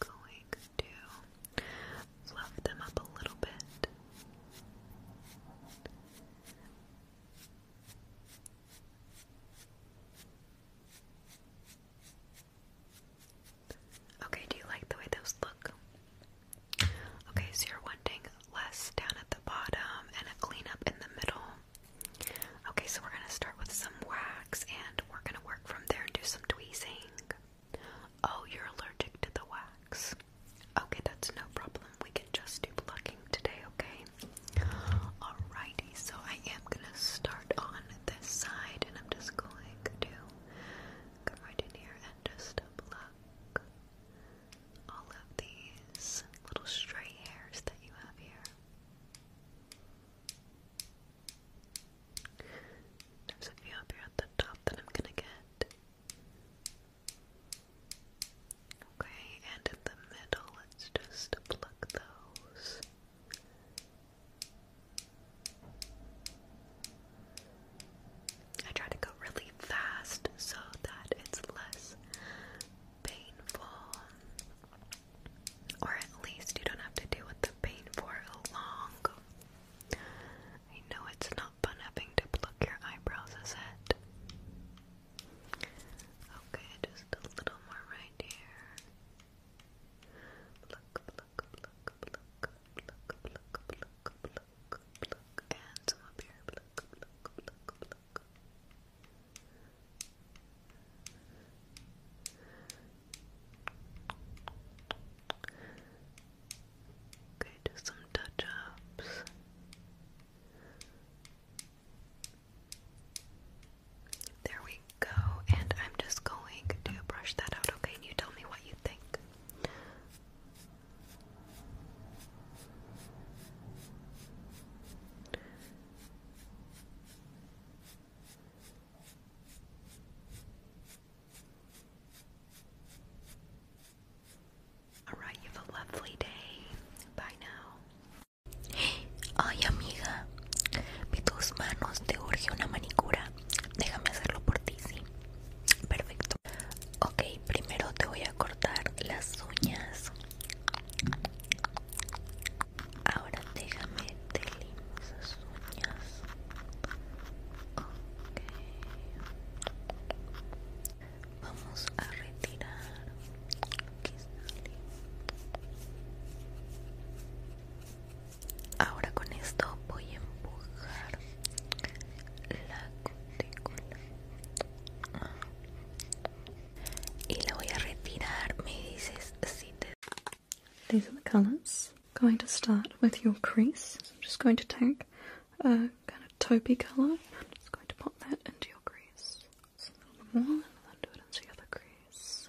going to fluff them up a little bit. Okay, do you like the way those look? Okay, so you're wanting less down at the bottom and a cleanup in the middle. Okay, so we're going to start with some wax and we're going to work from there and do some tweezing. Oh, you're allergic to the wax. Okay, that's no problem. We can just do plucking today, okay? Alrighty, so I am gonna start on this side and I'm just going to come right in here and just pluck all of these little stray hairs that you have here. There's a few up here at the top that I'm gonna get. Okay, and in the middle, let's just pluck those. I try to go really fast so that it's less painful. Or at least you don't have to deal with the pain for long. I know it's not fun having to pluck your eyebrows, is it? Okay, just a little more right here. Pluck, pluck, pluck, pluck, pluck, pluck, pluck, pluck, pluck, and up here. Pluck, pluck, pluck, pluck. Okay, just some touch ups. There we go, and I'm just going to brush that out, okay? And you tell me what you think. Alright, you have a lovely day. Bye now. Ay, amiga, vi tus manos, te urge una manicura. Déjame hacerlo por ti, sí. Perfecto. Ok, primero te voy a cortar las uñas. Ahora déjame te esas uñas. Vamos a retirar. Ahora con esto voy a empujar la cutícula. Ah. Y la voy a retirar. Me dices These are the colours. Going to start with your crease. I'm just going to take a kind of taupey colour. I'm just going to pop that into your crease. a little more, and then do it into the other crease.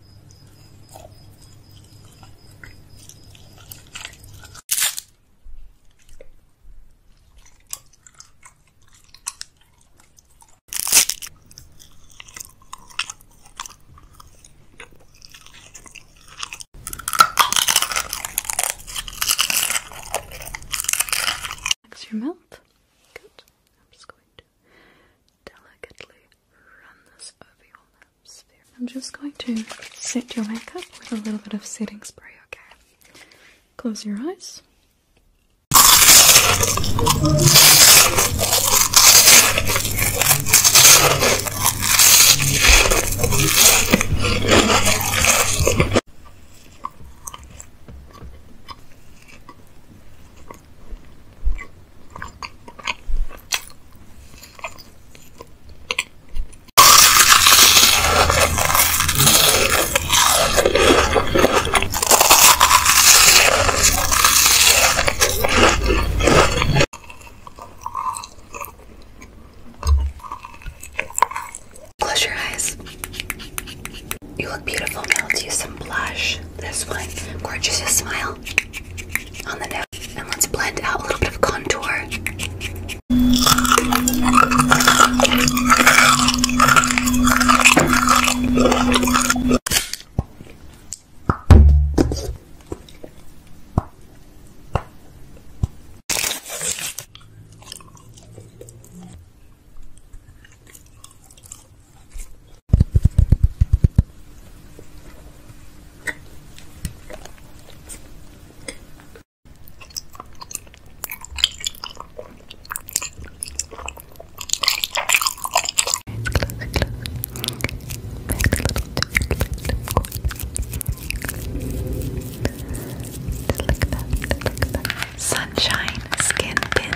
Relax your mouth. Good. I'm just going to delicately I'm just going to set your makeup with a little bit of setting spray, okay? Close your eyes. Close your eyes. You look beautiful now. Let's use some blush. This one. Gorgeous. smile on the and let's blend out a little bit of contour. Sunshine Skin Pin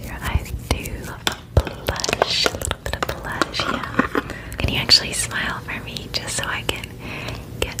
Your eyes do blush, a little bit of blush, yeah. Can you actually smile for me just so I can get.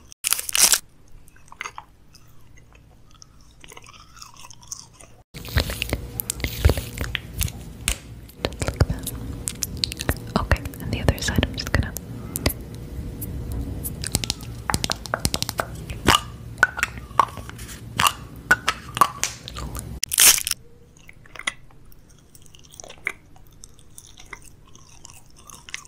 that. Okay, and the other side, I'm just gonna.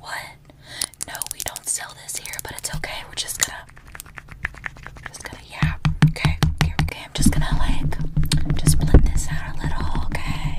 What? No, we don't sell this here, but it's okay. We're just gonna, just gonna, yeah. Okay, okay, I'm just gonna like, just blend this out a little, okay?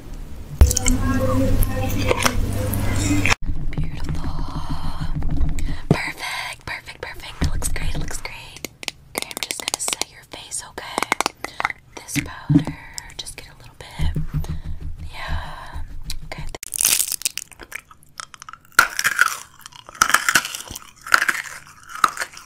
Beautiful. Perfect, perfect, perfect. It looks great, it looks great. Okay, I'm just gonna set your face, okay? This powder, just get a little bit. Yeah. Okay.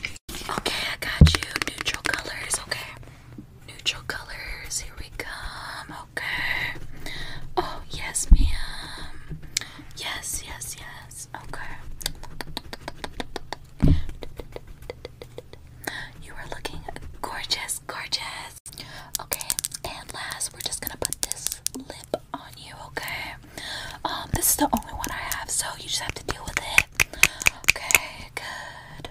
Okay, I got you. Neutral colors, okay. Neutral colors, here we come, okay. Oh, yes, ma'am. Yes, yes, yes, okay. You are looking gorgeous, gorgeous. Okay, and last, we're just gonna put this lip on you, okay? Um, this is the only one I have, so you just have to deal with it. Okay, good.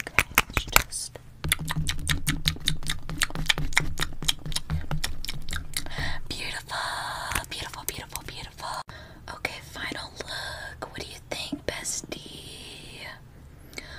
Okay, let just beautiful, beautiful, beautiful, beautiful. Okay, final look. What do you think, bestie?